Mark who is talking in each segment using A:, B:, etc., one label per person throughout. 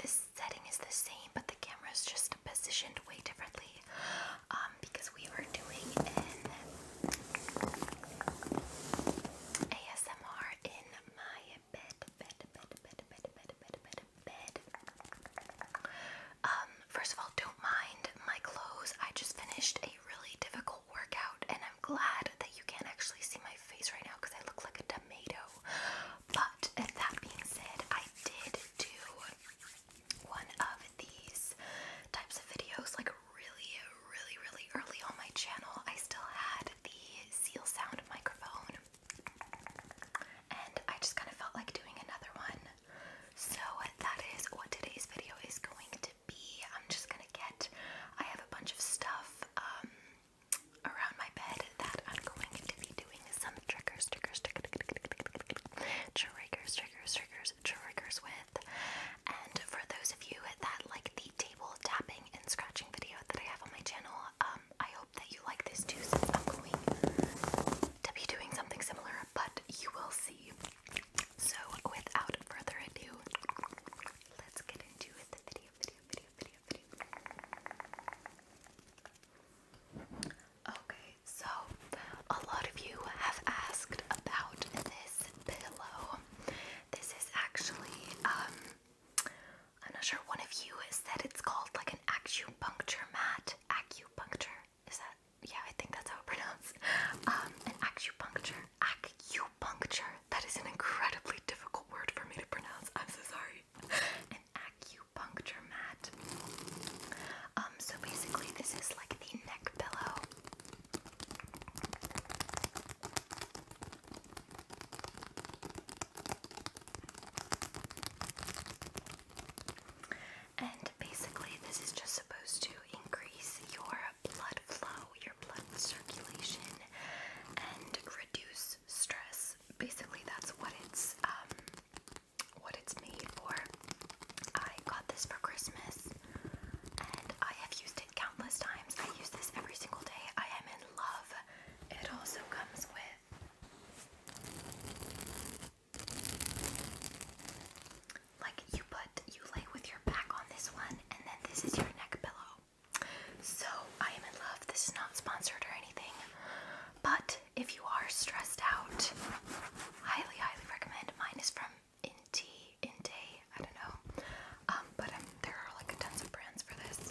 A: this setting is the same, but the camera is just positioned way differently um, because we were doing ASMR in my bed, bed, bed, bed, bed, bed, bed, bed, bed. Um, first of all, don't mind my clothes. I just finished a really difficult workout, and I'm glad that you can't actually see my face right now because I look like a tomato. But that being said, I did do one of these types of videos like really, really, really early on my channel. I still had the Seal Sound microphone, and I just kind of felt like doing another one. So that is what today's video is going to be. I'm just gonna get. I have a bunch of stuff. Um, around my bed that I'm going to be doing some triggers, triggers, triggers, triggers, triggers, triggers, triggers with. And for those of you that like the table tapping and scratching video that I have on my channel, um, I hope that you like this too since I'm going to be doing something similar, but you will see. So without further ado, let's get into the video, video, video, video, video. Okay, so a lot of you have asked about this pillow. This is actually, um, I'm not sure, one of you said it's called like an acupuncture mat. Acupuncture? Is that, yeah, I think that's how it's pronounced. Um, acupuncture. Acupuncture. That is an incredibly difficult word for me to pronounce. I'm so sorry an acupuncture mat. Um, so basically, this is like the neck pillow. And basically, this is just supposed to increase your blood flow, your blood circulation, and reduce stress basically that's what it's um what it's made for. I got this for Christmas and I have used it countless times. I use this every single day. I am in love. It also comes with like you put you lay with your back on this one and then this is your neck pillow. So I am in love. This is not sponsored or anything. But if you are stressed out, highly, highly recommend. Mine is from Inti, Intay, I don't know. Um, but um, there are like tons of brands for this.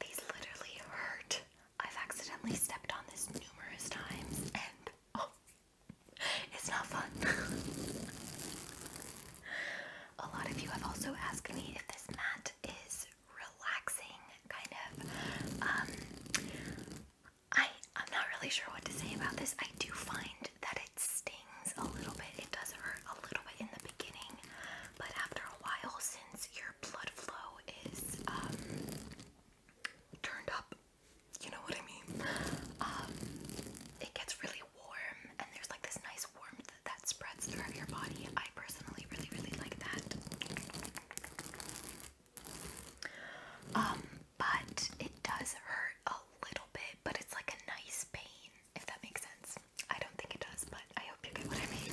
A: These literally hurt. I've accidentally stepped on this numerous times and oh, it's not fun. A lot of you have also asked me if this mat is relaxing, kind of. Um, I I'm not really sure what to say about this. I do find that it stings a little bit. It does hurt a little bit in the beginning, but after a while, since your blood flow is um, turned up, you know what I mean. Um, it gets really warm and there's like this nice warmth that spreads throughout your body. I personally really, really like that. Um, but it does hurt a little bit, but it's like a nice pain, if that makes sense. I don't think it does, but I hope you get what I mean.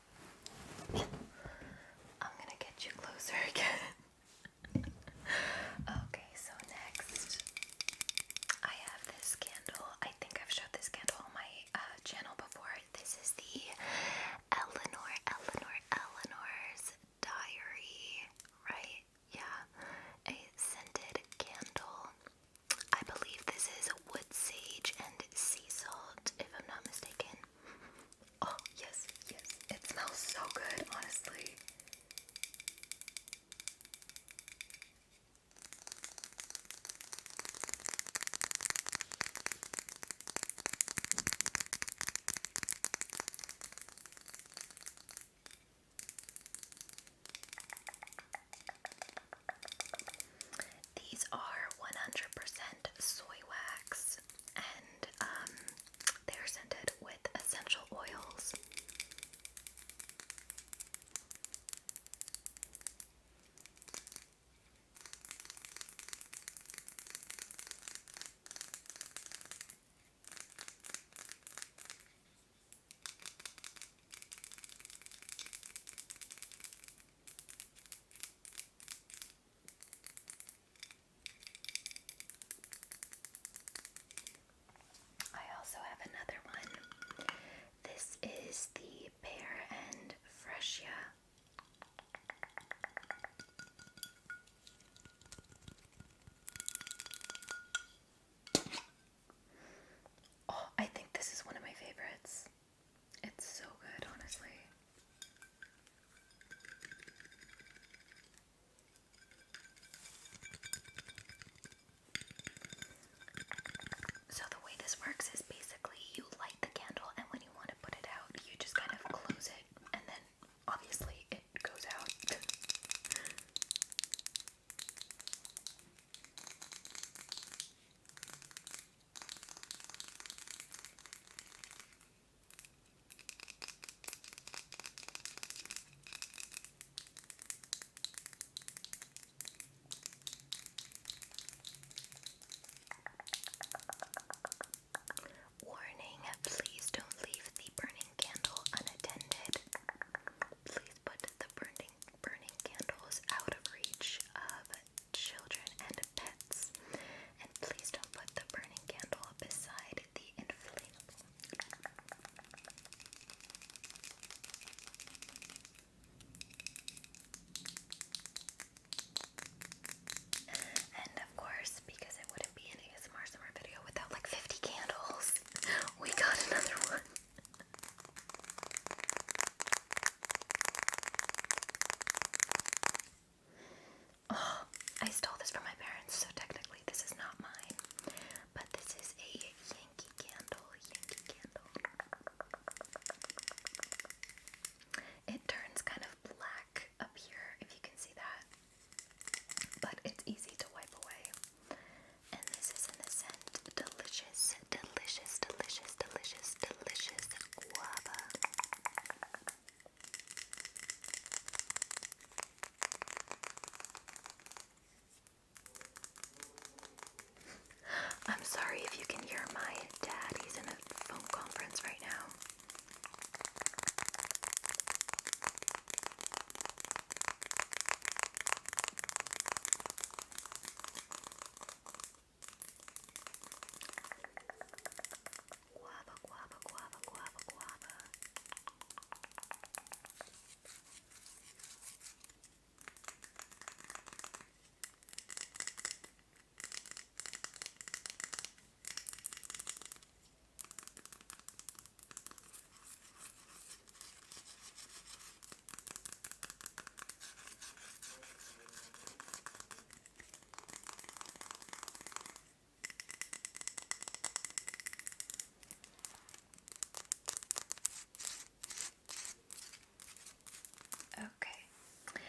A: I'm gonna get you closer again. okay, so next I have this candle. I think I've showed this candle on my uh, channel before. This is the Eleanor, Eleanor, Eleanor's Diary, right? Yeah, a scented candle. I believe this is wood sage and sea salt, if I'm not mistaken. Oh, yes, yes. It smells so good, honestly. These are 100% soy wax and um, they are scented with essential oils. I also have another one. This is the Pear and Fresia. Oh, I think this is one of my favorites. It's so good, honestly. So, the way this works is basically you light the candle, and when you want to put it out, you just kind of close it, and then obviously it goes out. Warning, please don't leave the burning candle unattended. Please put the burning burning candles out of reach of children, and pets. And please don't put the burning candle beside the inflatable. And of course, because it wouldn't be an ASMR summer video without like 50 candles, we got another one. Oh, I stole this from my parents, so technically this is not mine. But this is a Yankee candle. Yankee candle. It turns kind of black up here, if you can see that. But it's easy to wipe away. And this is an scent Delicious, Delicious, Delicious, Delicious, Delicious Guava. I'm sorry if you can hear my dad. He's in a phone conference right now. Guava, guava, guava, guava, guava. Okay.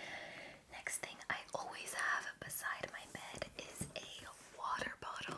A: Next thing I always have beside my bed is a water bottle.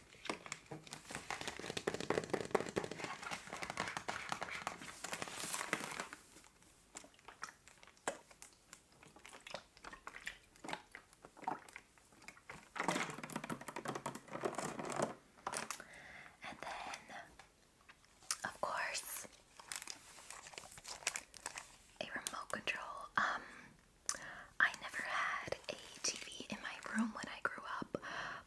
A: And then, of course, a remote control. Um, I never had a TV in my room when I grew up,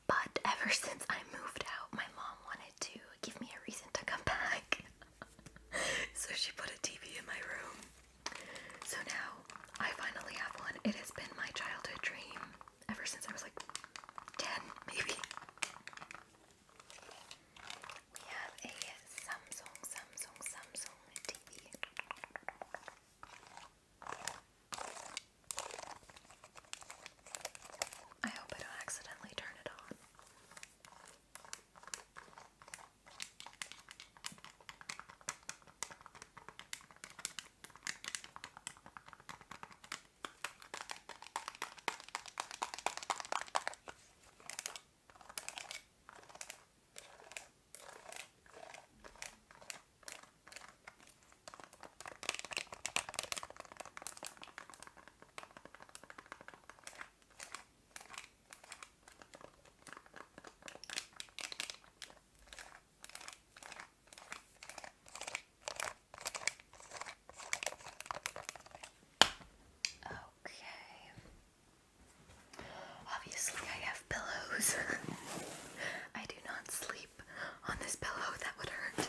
A: but ever since I moved out, my mom wanted to give me a reason to come back. so she put a TV in my room. So now I finally have one. It has been my childhood dream ever since I was like 10, maybe. We have a Samsung, Samsung, Samsung TV. I hope I don't accidentally turn it on. Okay. Obviously, I have pillows. I do not sleep sleep on this pillow, that would hurt.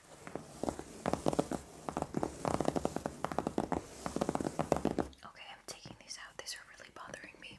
A: Okay, I'm taking these out. These are really bothering me.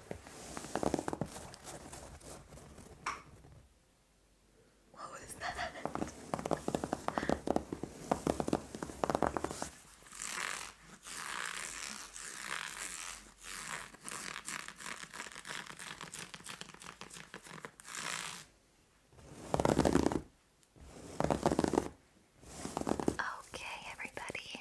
A: What was that? Okay, everybody.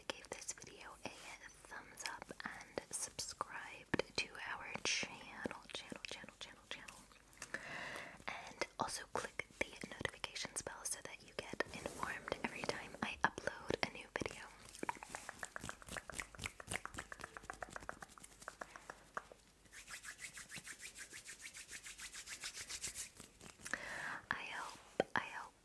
A: gave this video a thumbs up and subscribed to our channel, channel, channel, channel, channel. And also click the notifications bell so that you get informed every time I upload a new video. I hope, I hope,